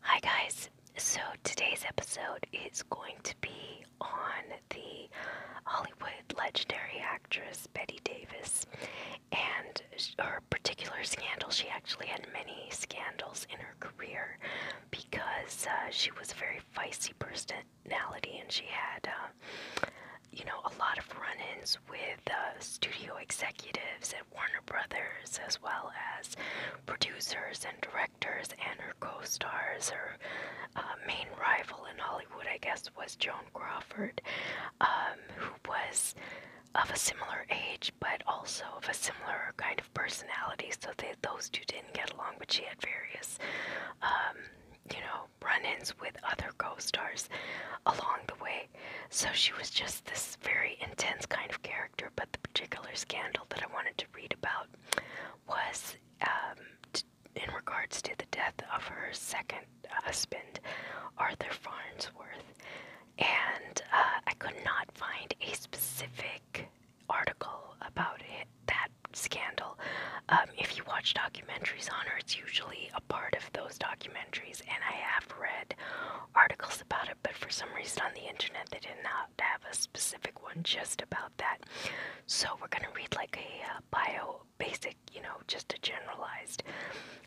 Hi, guys. So, today's episode is going to be on the Hollywood legendary actress Betty Davis and her particular scandal. She actually had many scandals in her career because uh, she was a very feisty personality and she had, uh, you know, a lot of run ins with uh, studio executives Warner Brothers, as well as producers and directors, and her co stars. Her uh, main rival in Hollywood, I guess, was Joan Crawford, um, who was of a similar age but also of a similar kind of personality so they, those two didn't get along but she had various um, you know run-ins with other co-stars along the way so she was just this very intense kind of character, but the particular scandal that I wanted to read about was um, in regards to the death of her second husband, Arthur Farnsworth. And uh, I could not find a specific article about it, that scandal. Um, if you watch documentaries on her, it's usually a part of those documentaries. And I have read articles else about it, but for some reason on the internet they did not have a specific one just about that. So we're going to read like a uh, bio, basic, you know, just a generalized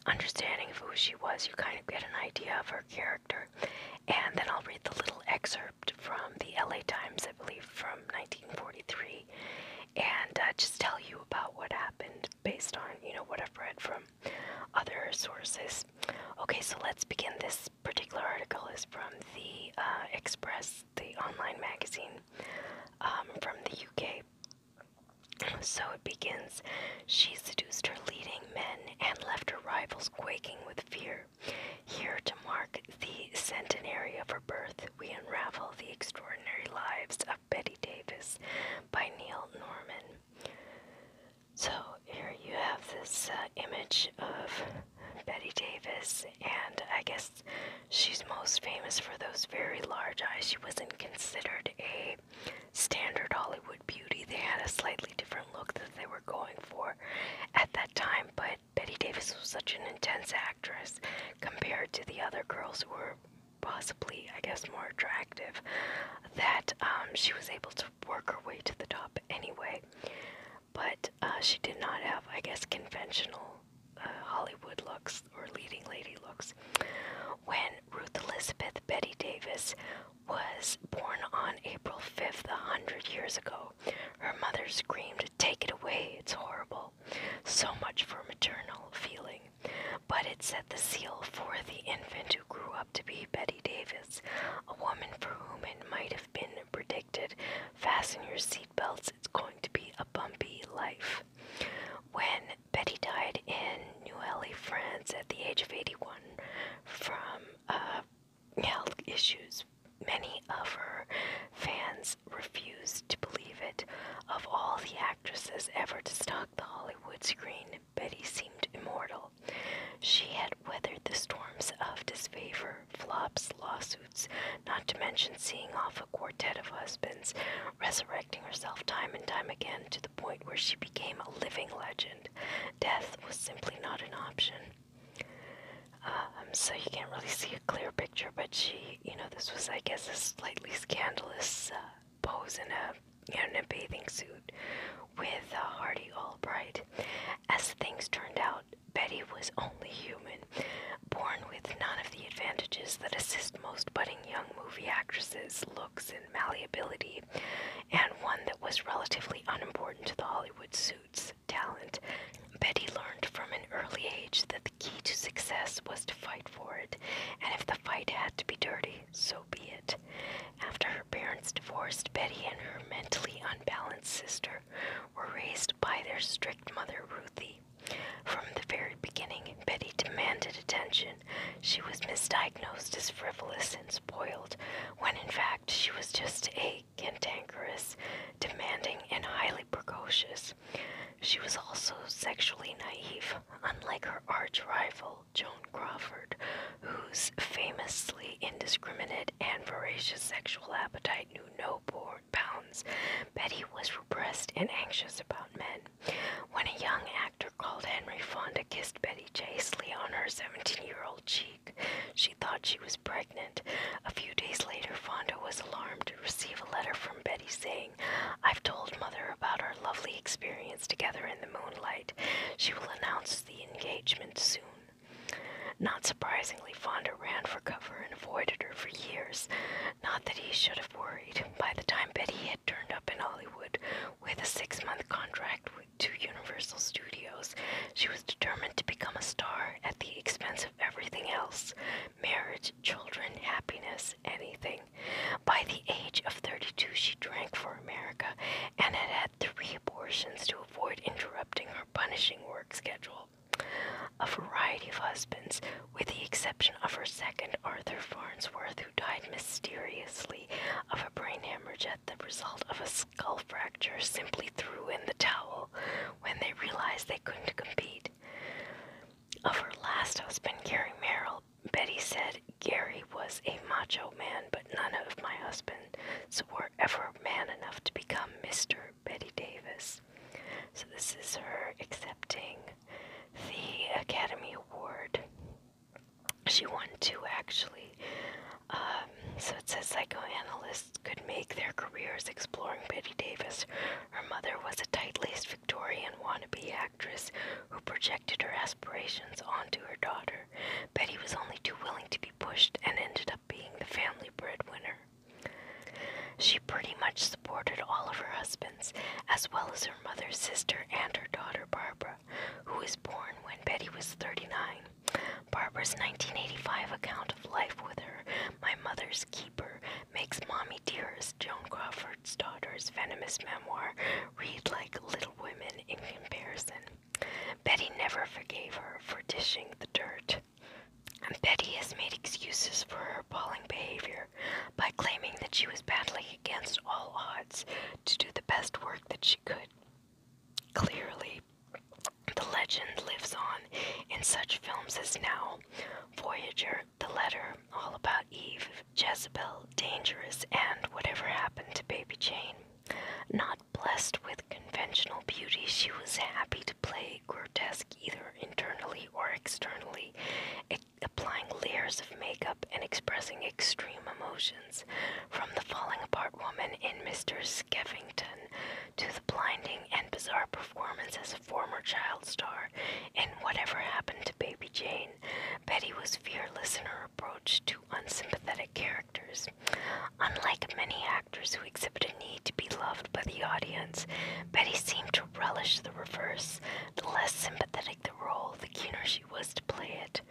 understanding of who she was. You kind of get an idea of her character. And then I'll read the little excerpt from the LA Times, I believe, from 1943, and uh, just tell you about what happened based on, you know, what I've read from other sources. Okay, so let's begin. This particular article is from the uh, Express, the online magazine um, from the UK. So it begins She seduced her leading men and left her rivals quaking with fear. Here, to mark the centenary of her birth, we unravel the extraordinary lives of Betty Davis by Neil Norman. So here you have this uh, image of Betty Davis, and I guess she's most famous for those very large eyes. She wasn't considered a standard Hollywood beauty. They had a slightly different look that they were going for at that time, but Betty Davis was such an intense actress compared to the other girls who were possibly, I guess, more attractive that um, she was able to work her way to the top anyway. But uh, she did not have, I guess, conventional uh, Hollywood looks or leading lady looks. When Ruth Elizabeth Betty Davis was born on April 5th, a hundred years ago, her mother screamed, Take it away, it's horrible. So much for maternal feeling. But it set the seal for the infant who grew up to be Betty Davis, a woman for whom it might have been predicted fasten your seatbelts, it's going to be a bumpy life. When Betty died in Neuilly, France, at the age of 81, from uh, health issues, many of her fans refused to believe it. Of all the actresses ever to stock the Hollywood screen, Betty seemed immortal. She had weathered the storms of disfavor, flops, lawsuits, not to mention seeing off a quartet of husbands, resurrecting herself time and time again to the point where she became a living legend. Death was simply not an option. Uh, um, so you can't really see a clear picture, but she, you know, this was, I guess, a slightly scandalous uh, pose a, in a bathing suit with uh, Hardy Albright. As things turned out, Betty was only human, born with none of the advantages that assist most budding young movie actresses, looks and malleability, and one that was relatively unimportant to the Hollywood suit's talent. Betty learned from an early age that the key to success was to fight for it, and if the fight had to be dirty, so be it. After her parents divorced, Betty and her mentally unbalanced sister were raised by their strict mother, Ruthie. From the very beginning, Betty demanded attention. She was misdiagnosed as frivolous and spoiled, when in fact she was just a cantankerous, demanding, and highly precocious. She was also sexually naive, unlike her arch rival, Joan Crawford, whose famously indiscriminate and voracious sexual appetite knew no bounds, Betty was repressed and anxious about men. When a young actor called Henry Fonda kissed Betty chastely on her 17 year old cheek, she thought she was pregnant. A few days later, Fonda was alarmed to receive a letter from Betty saying, I've told mother about our lovely experience together in the moonlight she will announce the engagement soon. Not surprisingly, Fonda ran for cover and avoided her for years. Not that he should have worried. By the time Betty had turned up in Hollywood with a six month contract to Universal Studios, she was determined to become a star at the expense of everything else marriage, children, happiness, anything. By the age of 32, she drank for America and had had three abortions to avoid interrupting her punishing work schedule. A variety of husbands, with the exception of her second, Arthur Farnsworth, who died mysteriously of a brain hemorrhage at the result of a skull fracture, simply threw in the towel when they realized they couldn't compete. Of her last husband, Gary Merrill, Betty said Gary was a macho man, but none of my husbands were ever man enough to become Mr. Betty Davis. So this is her accepting the Academy Award. She won two actually. Um, so it says psychoanalysts could make their careers exploring Betty Davis. Her mother was a tight-laced Victorian wannabe actress who projected her aspirations onto her daughter. Betty was only too willing to be pushed and ended up being the family breadwinner. She pretty much supported all of her husbands, as well as her mother's sister and her daughter Barbara, who was born when Betty was 39. Barbara's 1985 account of life with her, My Mother's Keeper, makes Mommy Dearest, Joan Crawford's daughter's venomous memoir, read like Little in comparison. Betty never forgave her for dishing the dirt. And Betty has made excuses for her appalling behavior by claiming that she was battling against all odds to do the best work that she could. Clearly, the legend lives on in such films as Now, Voyager, The Letter, All About Eve, Jezebel, dangerous, and whatever happened to Baby Jane. Not blessed with conventional beauty, she was happy to play grotesque either internally or externally, applying layers of makeup and expressing extreme emotions, from the falling apart woman in Mr. Skeffington to the blinding and bizarre performance as a former child star in Whatever Happened to Baby Jane. Betty was fearless in her approach to unsympathetic characters. Unlike many actors who exhibit a need to be loved by the audience, Betty seemed to relish the reverse. The less sympathetic the role, the keener she was to play it.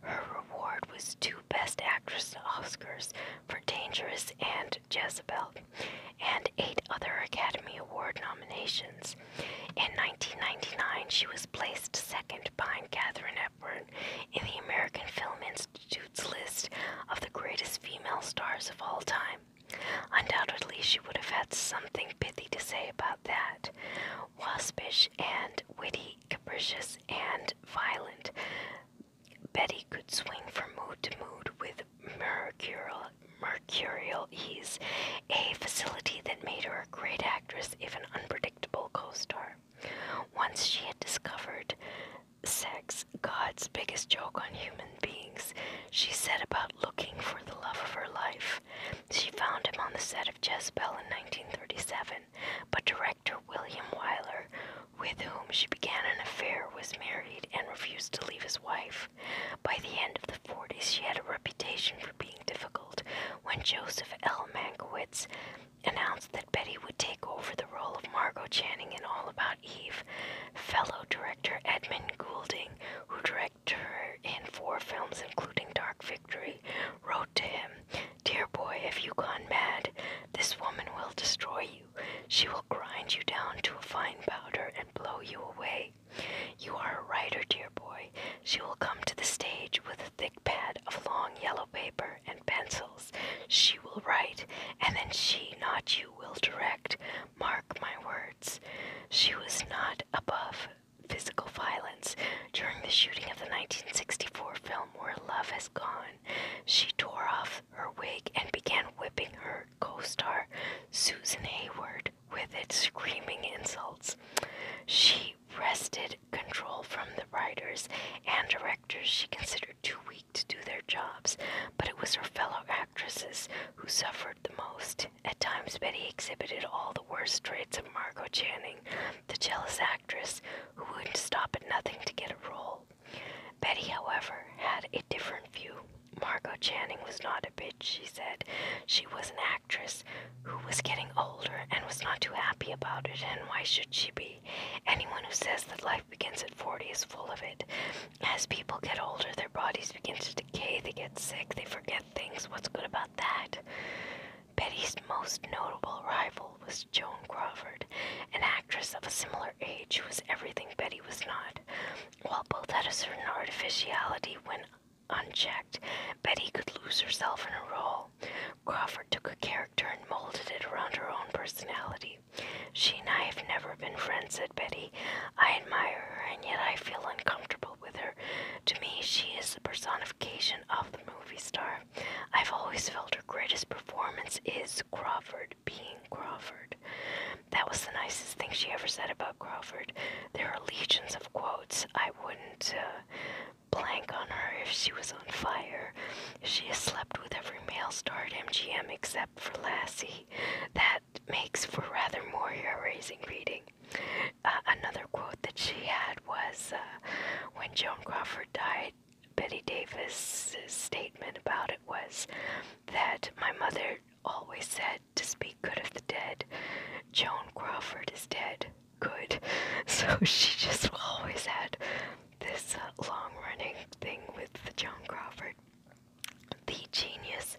Her reward was two Best Actress Oscars for Dangerous and Jezebel, and eight other Academy Award nominations. In 1999, she was placed second behind Katherine Hepburn in the American Film Institute's list of the greatest female stars of all time. Undoubtedly, she would have had something pithy to say about that. Waspish and witty, capricious and violent, Betty could swing from mood to mood with mercurial ease, a facility that made her her great actress if an unpredictable co-star. Once she had discovered sex, God's biggest joke on human beings, she set about looking for the love of her life. She found him on the set of Jezebel in 1937, but director William Wyler, with whom she began an affair, was married and refused to leave his wife. By the end of the 40s, she had a reputation being difficult when Joseph L. Mankiewicz announced that Betty would take over the role of Margot Channing in All About Eve. Fellow director Edmund Goulding, who directed her in four films including Dark Victory, wrote to him, Dear boy, if you have gone mad? This woman will destroy you. She will grind you down to a fine powder and blow you away. You are a writer, dear boy. She will come to the stage with a thick pad of long yellow paper and pencils. She will write, and then she, not you, will direct. Mark my words. She was not above physical violence during the shooting of the 1964 film Where Love Has Gone. She tore off her wig and began whipping her co star, Susan Hayward, with its screaming insults. She wrested control from the writers and directors she considered too weak to do their jobs, but it was her fellow actresses who suffered the most. At times, Betty exhibited all the worst traits of Margot Channing, the jealous actress who wouldn't stop at nothing to get a role. Betty, however, had a different view. Margot Channing was not a bitch, she said. She was an actress who was getting older and was not too happy about it, and why should she be? Anyone who says that life begins at 40 is full of it. As people get older, their bodies begin to decay, they get sick, they forget things. What's good about that? Betty's most notable rival was Joan Crawford, an actress of a similar age who was everything Betty was not. While both had a certain artificiality when unchecked, Betty could lose herself in a role. Crawford took a character and molded it around her own personality. She and I have never been friends, said Betty. I admire her, and yet I feel uncomfortable with her. To me, she is the personification of the movie star. I've always felt her greatest performance is Crawford being Crawford. That was the nicest thing she ever said about Crawford. There are legions of quotes I wouldn't blank on her if she was on fire. She has slept with every male star at MGM except for Lassie. That makes for rather more hair-raising reading. Uh, another quote that she had was uh, when Joan Crawford died, Betty Davis's statement about it was that my mother always said to speak good of the dead. Joan Crawford is dead. Good. So she just always had this uh, long running thing with the Joan Crawford. The genius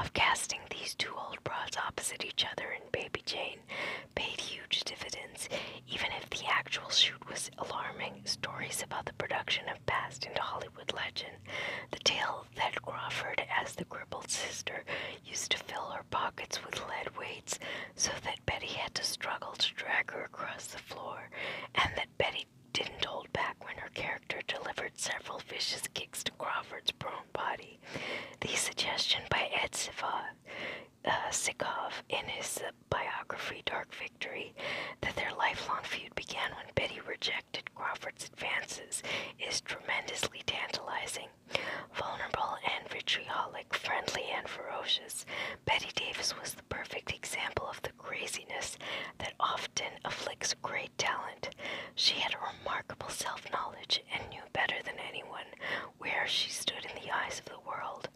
of casting these two old broads opposite each other in Baby Jane paid huge dividends, even if the actual shoot was alarming. Stories about the production have passed into Hollywood legend. The tale that Crawford, as the crippled sister, used to fill her pockets with lead weights so that Betty had to struggle to drag her across the floor, and that Betty didn't hold back when her character delivered several vicious kicks to Crawford's prone body. The suggestion by Ed uh, Sikov, in his biography Dark Victory that their lifelong feud began when Betty rejected Crawford's advances is tremendously tantalizing Vulnerable and vitriolic, friendly and ferocious, Betty Davis was the perfect example of the craziness that often afflicts great talent. She had a remarkable self knowledge and knew better than anyone where she stood in the eyes of the world,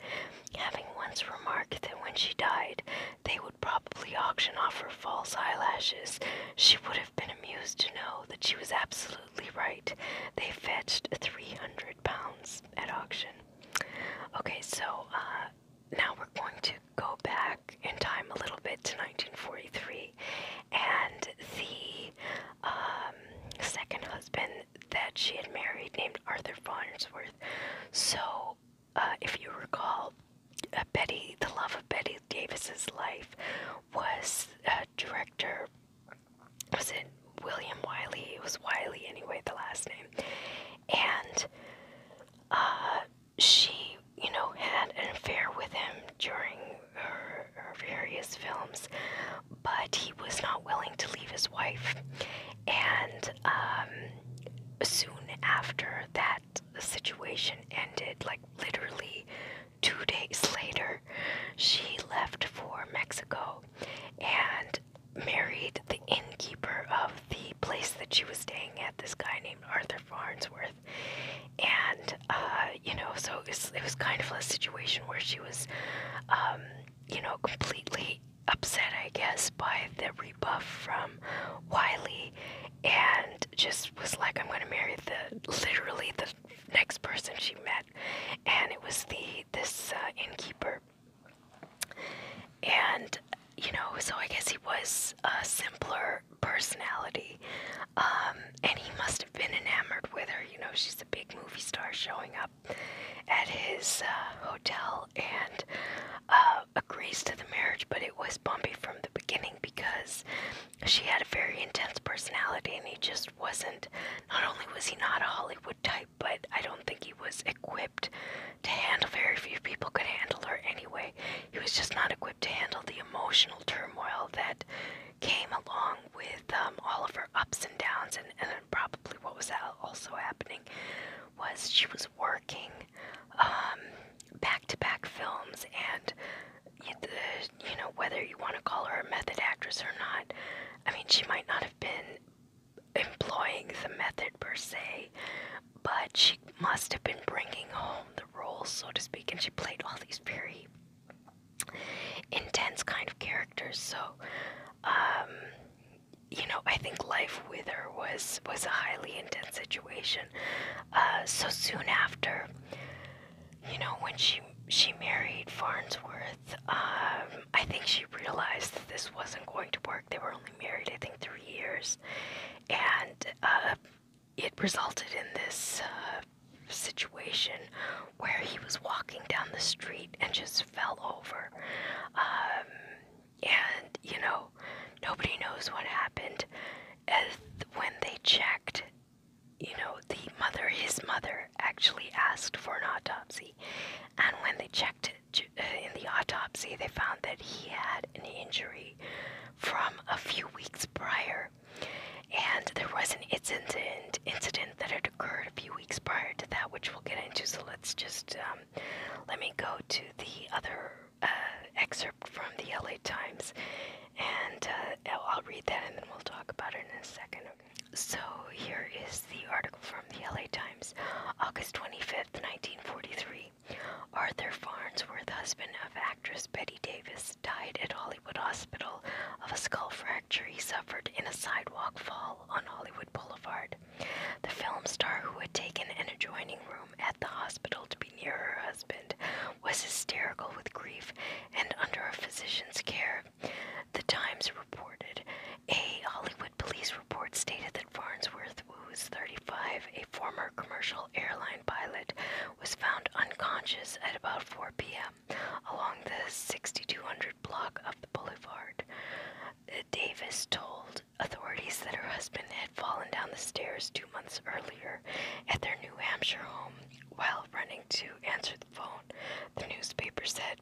having once remarked that when she died, they would probably auction off her false eyelashes. She would have been amused to know that she was absolutely right. They fetched 300 pounds at auction. Okay, so uh, now we're going to go back in time a little bit to 1943 and the um, second husband that she had married named Arthur Farnsworth. So, uh, if you recall, uh, Betty, the love of Betty Davis's life was a uh, director. Was it William Wiley? It was Wiley anyway, the last name. And uh, she, you know, had an affair with him during her, various films, but he was not willing to leave his wife. And um, soon after that situation ended, like literally two days later, she left for Mexico and married the innkeeper of the place that she was staying at, this guy named Arthur Farnsworth. And, uh, you know, so it was, kind of a situation where she was, um, you know, completely upset, I guess, by the rebuff from Wiley and just was like, I'm going to marry the literally the next person she met, and it was the this uh, innkeeper. And you know, so I guess he was a simpler personality, um, and he must have been enamored with her. You know, she's a big movie star showing up at his uh, hotel and uh, agrees to the marriage, but it was bumpy from the beginning because she had a very intense personality and he just wasn't not only was he not a Hollywood type, but I don't think he was equipped to handle very few people could handle her anyway. He was just not equipped to handle the emotional turmoil that came along with um, all of her ups and downs and, and probably what was also happening was she was working um, back-to-back films and the, you know, whether you want to call her a method actress or not, I mean, she might not have been employing the method per se, but she must have been bringing home the roles, so to speak, and she played all these very intense kind of characters. So, um, you know, I think life with her was was a highly intense situation. Uh, so soon after you know, when she she married Farnsworth, um, I think she realized that this wasn't going to work. They were only married, I think, three years, and uh, it resulted in this uh, situation where he was walking down the street and just fell over. Um, and you know, nobody knows what happened. As when they checked, you know, the mother, his mother, actually asked for an autopsy. And when they checked uh, in the autopsy, they found that he had an injury from a few weeks prior. And there was an incident, incident that had occurred a few weeks prior to that, which we'll get into. So let's just um, let me go to the other uh, excerpt from the LA Times and uh, I'll, read that and then we'll talk about it in a second. So here is the article from the LA Times, August 25th, 1943. Arthur Farnsworth, husband of actress Betty Davis, died at Hollywood Hospital of a skull fracture he suffered in a sidewalk fall on Hollywood Boulevard. The film star who had taken an adjoining room at the hospital to be near her husband was hysterical with grief and under a physician's care. The Times reported. A Hollywood police report stated that Farnsworth, who was 35, a former commercial airline pilot, was found unconscious at about 4 p.m. along the 6200 block of the boulevard. Uh, Davis told authorities that her husband had fallen down the stairs two months earlier at their New Hampshire home while running to answer the phone, the newspaper said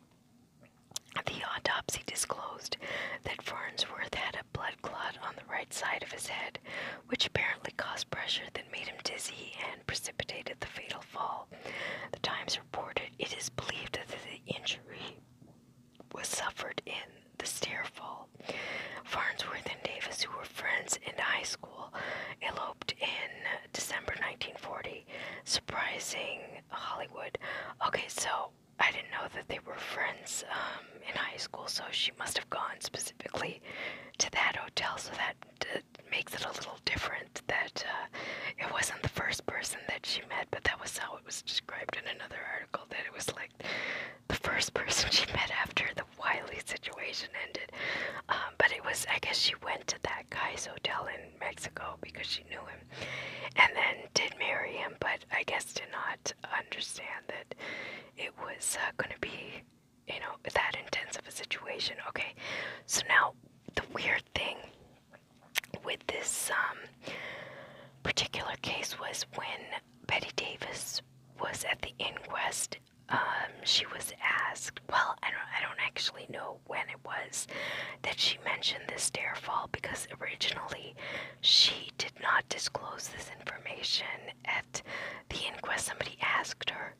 the autopsy disclosed that Farnsworth had a blood clot on the right side of his head, which apparently caused pressure that made him dizzy and precipitated the fatal fall. The Times reported it is believed that the injury was suffered in the stair fall. Farnsworth and Davis, who were friends in high school, eloped in December 1940, surprising Hollywood. Okay, so I didn't know that they were friends um, in high school, so she must have gone specifically to that hotel, so that makes it a little different that uh, it wasn't the first person that she met, but that was how it was described in another article that it was like the first person she met after the Wiley situation ended. Um, but it was, I guess, she went to that guy's hotel in Mexico because she knew him, and then did marry him. But I guess did not understand that it was uh, going to be, you know, that intense of a situation. Okay, so now the weird thing with this um, particular case was when Betty Davis was at the inquest um, she was asked, well, I don't, I don't actually know when it was that she mentioned this stair fall because originally she did not disclose this information at the inquest. Somebody asked her,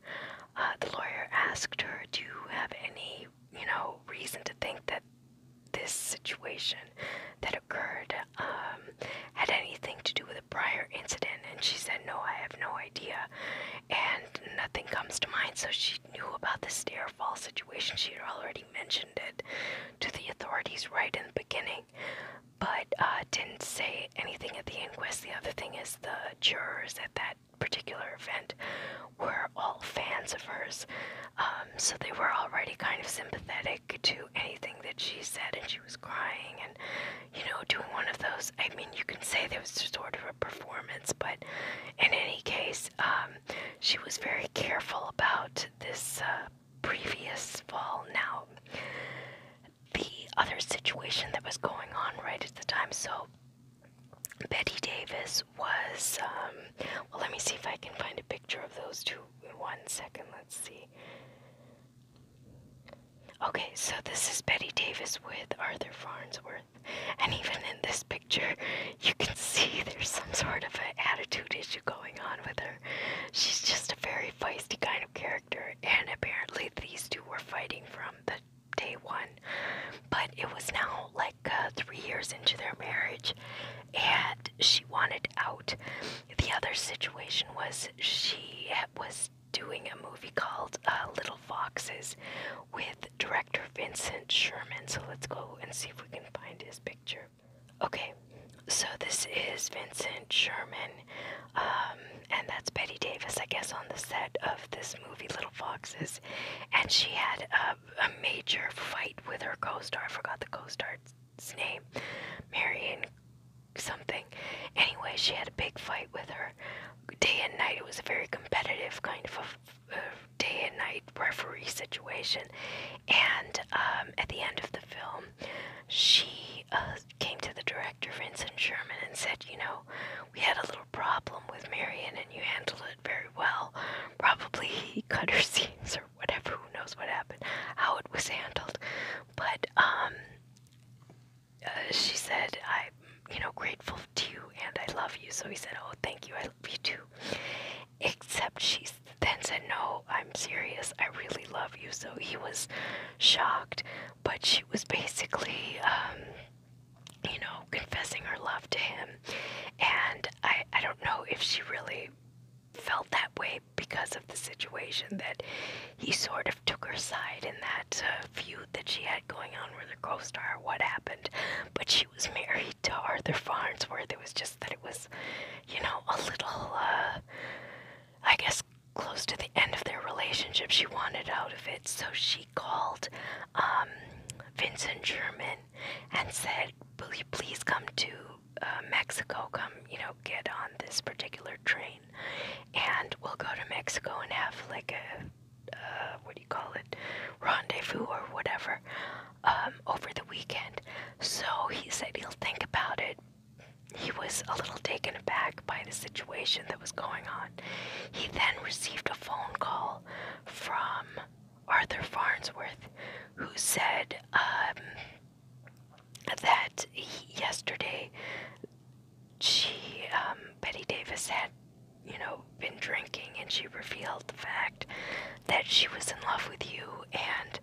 uh, the lawyer asked her, do you have any, you know, reason to think that this situation that occurred um, had anything to do with prior incident? And she said, No, I have no idea. And nothing comes to mind. So she knew about the stair fall situation. She had already mentioned it to the authorities right in the beginning, but uh, didn't say anything at the inquest. The other thing is, the jurors at that particular event were all fans of hers. Um, so they were already kind of sympathetic to anything that she said, and she she was crying and, you know, doing one of those. I mean, you can say there was sort of a performance, but in any case, um, she was very careful about this uh, previous fall. Now, the other situation that was going on right at the time, so Betty Davis was, um, well, let me see if I can find a picture of those two in one second. Let's see. Okay, so this is Betty Davis with Arthur Farnsworth. And even in this picture, you can see there's some sort of an attitude issue going on with her. She's just a very feisty kind of character, and apparently these two were fighting from the day one. But it was now like uh, three years into their marriage, and she wanted out. The other situation was she was doing a movie called uh, Little Foxes with director Vincent Sherman. So let's go and see if we can find his picture. Okay, so this is Vincent Sherman, um, and that's Betty Davis, I guess, on the set of this movie Little Foxes. And she had a major fight with her co star, I forgot the co star's name, Marion something. Anyway, she had a big fight with her. Day and night, it was a very competitive kind of a, uh, day and night referee situation. And um, at the end of the film, she uh, came to the director, Vincent Sherman, and said, You know, we had a little problem with Marion, and you handled it very well. Probably he cut her scenes or whatever, who knows what happened, how it was handled. But um, uh, she said, I'm, you know, grateful to you and I love you. So he said, Oh, thank you. I love you too. Except she then said, No, I'm serious. I really love you. So he was shocked, but she was basically, um, you know, confessing her love to him. And I, I don't know if she really felt that way way because of the situation that he sort of took her side in that uh, feud that she had going on with her co-star. What happened? But she was married to Arthur Farnsworth. It was just that it was, you know, a little, uh, I guess, close to the end of their relationship. She wanted out of it, so she called um, Vincent German and said, "Will you please come to?" Uh, Mexico, come, you know, get on this particular train and we'll go to Mexico and have like a what do you call it? Rendezvous or whatever um, over the weekend. So he said he'll think about it. He was a little taken aback by the situation that was going on. He then received a phone call from Arthur Farnsworth, who said, um, that he, yesterday she, um, Betty Davis had, you know, been drinking and she revealed the fact that she was in love with you and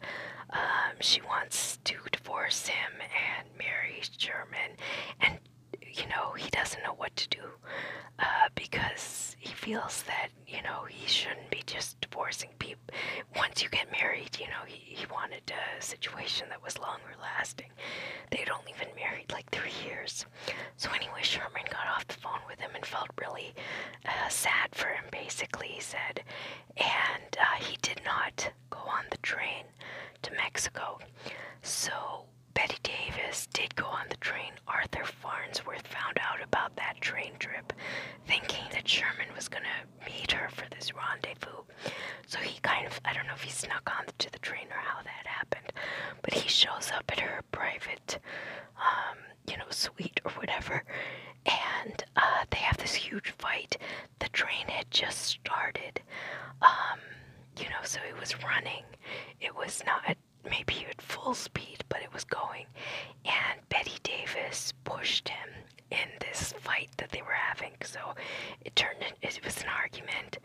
um, she wants to divorce him and marry Sherman and you know he doesn't know what to do uh, because he feels that you know he shouldn't be just divorcing people once you get married, you know, he, he wanted a situation that was longer lasting. They'd only been married like three years. So, anyway, Sherman got off the phone with him and felt really uh, sad for him, basically, he said. And uh, he did not go on the train to Mexico. So, Betty Davis did go on the train. Arthur Farnsworth found out about that train trip, thinking that Sherman was going to meet her for this rendezvous. So he kind of, I don't know if he snuck on to the train or how that happened, but he shows up at her private, um, you know, suite or whatever, and uh, they have this huge fight. The train had just started, um, you know, so it was running. It was not maybe at full speed, but it was going, and Betty Davis pushed him in this fight that they were having. So it turned it was an argument.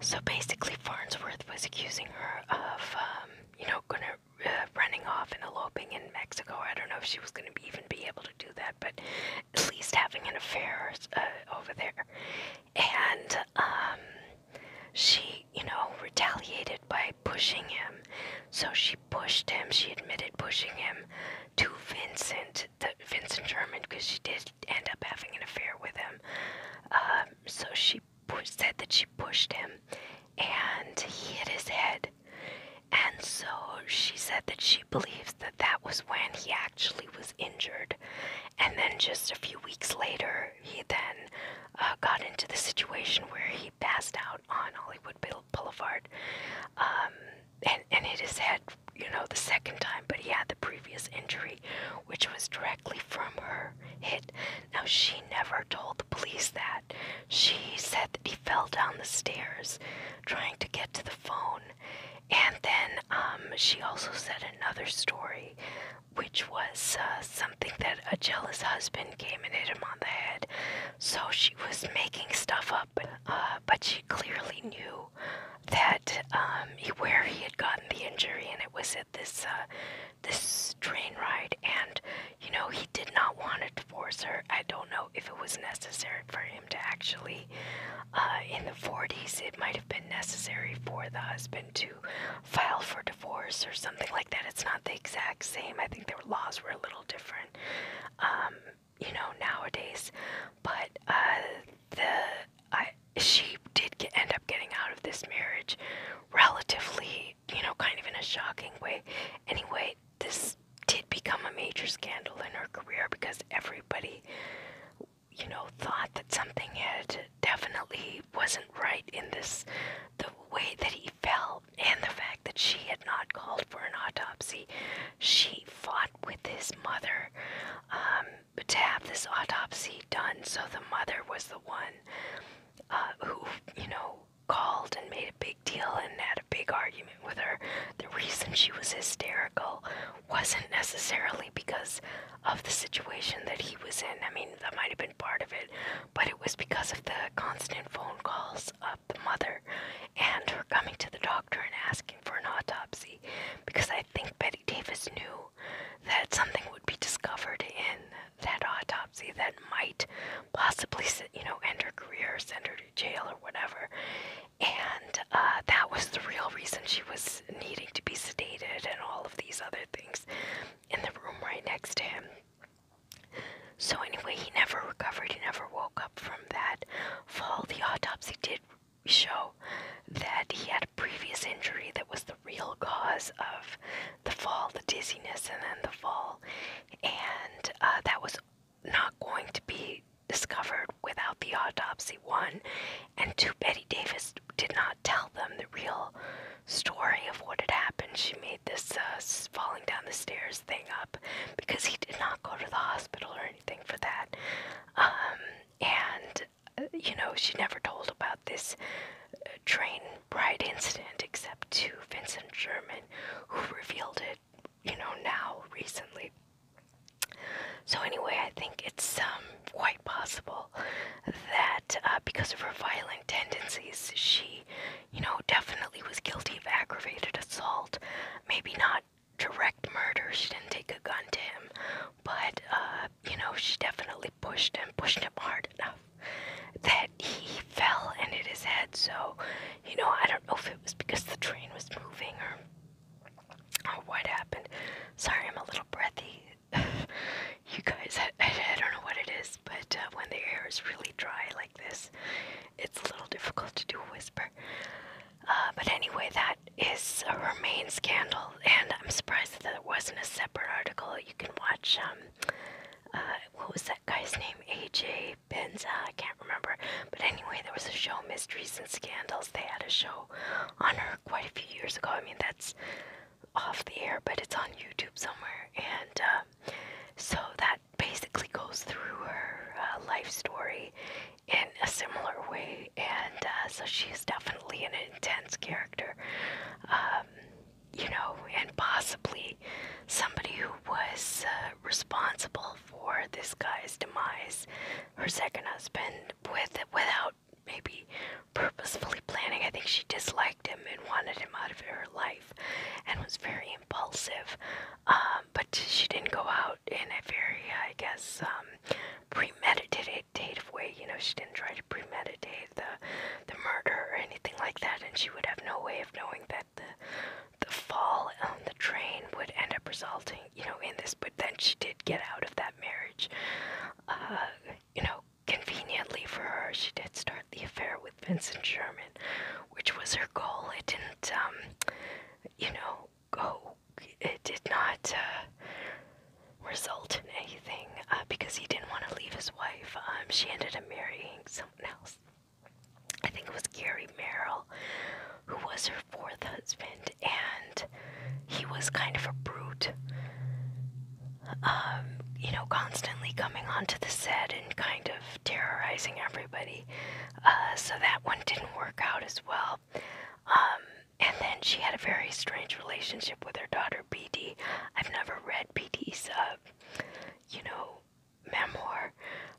So basically, Farnsworth was accusing her of, um, you know, gonna uh, running off and eloping in Mexico. I don't know if she was gonna be, even be able to do that, but at least having an affair uh, over there. And um, she, you know, retaliated by pushing him. So she pushed him. She admitted pushing him to Vincent, the Vincent German, because she did end up having an affair with him. Um, so she said that she pushed him, and he hit his head. And so she said that she believes that that was when he actually was injured. And then just a few weeks later, he then uh, got into the situation where he passed out on Hollywood Boulevard. Um, and and it is had you know the second time, but he had the previous injury, which was directly from her hit. Now she never told the police that. She said that he fell down the stairs, trying to get to the phone, and then um, she also said another story, which was uh, something that a jealous husband came and hit him on the head. So she was making stuff up up, uh, but she clearly knew that um, he, where he had gotten the injury, and it was at this uh, this train ride. And you know, he did not want to divorce her. I don't know if it was necessary for him to actually. Uh, in the 40s, it might have been necessary for the husband to file for divorce or something like that. It's not the exact same. I think their laws were a little different. Um, you know, nowadays. But uh, the she did end up getting out of this marriage relatively, you know, kind of in a shocking way. Anyway, this did become a major scandal in her career because everybody, you know, thought that something had definitely wasn't right in this, the way that he felt and the fact that she had not called for an autopsy, she fought with his mother um, to have this autopsy done. So the mother was the one uh, who, you know, called and made a big deal and had a big argument with her. The reason she was hysterical wasn't necessarily because of the situation that he was in. I mean, that might have been part of it, but it was because of the constant phone calls illness of the mother and her coming to the doctor and asking for an autopsy because I think Betty Davis knew that something would be discovered in that autopsy that might possibly, you know, end her career, send her to jail, or whatever. And uh, that was the real reason she was needing to be sedated and all of these other things in the room right next to him. So, anyway, he never recovered, he never woke up from that fall, the autopsy did show that he had a previous injury that was the real cause of the fall, the dizziness, and then the fall. And uh, that was not going to be discovered without the autopsy, one. And two, Betty Davis did not tell them the real story of what had happened. She made this uh, falling down the stairs thing up because he did not go to the hospital or anything for that. Um, and, uh, you know, she never told about this uh, train ride incident except to Vincent Sherman, who revealed it, you know, now recently. So, anyway, I think it's um, quite possible that uh, because of her violent tendencies, she, you know, definitely was guilty of aggravated assault maybe not direct murder. She didn't take a gun to him, but uh, you know, she definitely pushed him, pushed him hard enough that he fell and hit his head. So, you know, I don't know if it was because the train was moving or or what happened. Sorry, I'm a little breathy. you guys, I, don't know what it is, but uh, when the air is really dry like this, it's a little difficult to do a whisper. Uh, but anyway, that is a Remain scandal, and I'm surprised that there wasn't a separate article. You can watch, um, uh, what was that guy's name? AJ Benza, I can't remember. But anyway, there was a show, Mysteries and Scandals. They had a show on her quite a few years ago. I mean, that's off the air, but it's on YouTube somewhere. And uh, so that basically goes through her uh, life story in a similar way, and uh, so she's definitely an intense character, um, you know, and possibly somebody who was uh, responsible for this guy's demise, her second husband, with without maybe purposefully planning. I think she disliked him and wanted him out of her life, and was very impulsive, um, but she didn't go out in a very, I guess, um, premeditative way. You know, she didn't try to premeditate the the murder or anything like that, and she would have no way of knowing that the the fall on the train would end up resulting, you know, in this. But then she did get out of that marriage. Uh, you know, conveniently for her, she did start the affair with Vincent Sherman, which was her goal. It didn't, um, you know, go. It did not uh, result in anything uh, because he didn't want to leave his wife. Um, she ended up marrying someone else. I think it was Gary Merrill, who was her fourth husband, and he was kind of a brute. Um, you know, constantly coming onto the set and kind of terrorizing everybody. Uh, so that one didn't work out as well. Um, and then she had a very strange relationship with her daughter BD. I've never read BD's, uh, you know, memoir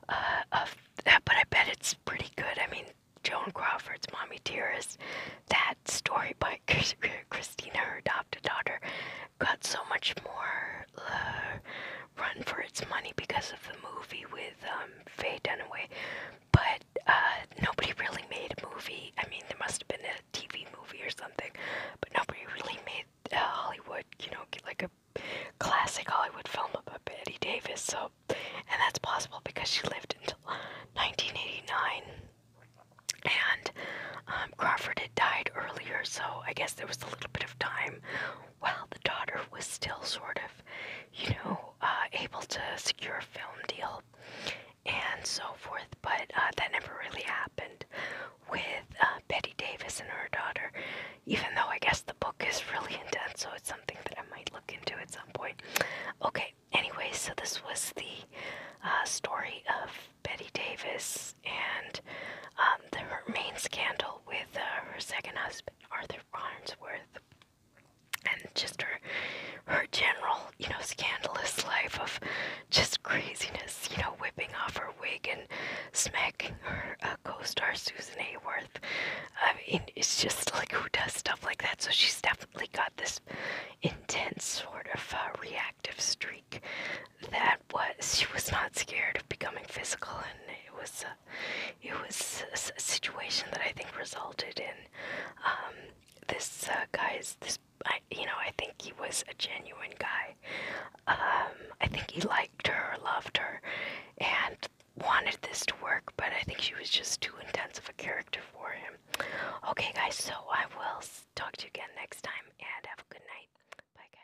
uh, of that, but I bet it's pretty good. I mean, Joan Crawford's Mommy Dearest, that story by Christina, her adopted daughter, got so much more uh, run for its money because of the movie with um, Faye Dunaway, but uh, nobody really made a movie. I mean, there must have been a TV movie or something, but nobody really made a uh, Hollywood, you know, like a classic Hollywood film about Betty Davis. So, and that's possible because she lived until 1989, and um, Crawford had died earlier, so I guess there was a little bit of time while the daughter was still sort of, you know, uh, able to secure a film deal and so forth. But uh, that never really happened with uh, Betty Davis and her daughter, even though I guess the book is really intense, so it's something that I might look into at some point. Okay, anyway, so this was the story of Betty Davis and um, the main scandal with uh, her second husband, Arthur Farnsworth, and just her her general, you know, scandalous life of just craziness, you know, whipping off her wig and smacking her uh, co-star Susan Hayworth. I mean, it's just like who does stuff like that. So she's definitely got this intense sort of uh, reactive streak that was she was not scared of becoming physical, and it was a, it was a, situation that I think resulted in um, this uh, guy's this. I, you know, I think he was a genuine guy. Um, I think he liked her, loved her, and wanted this to work, but I think she was just too intense of a character for him. Okay, guys, so I will talk to you again next time, and have a good night. Bye, guys.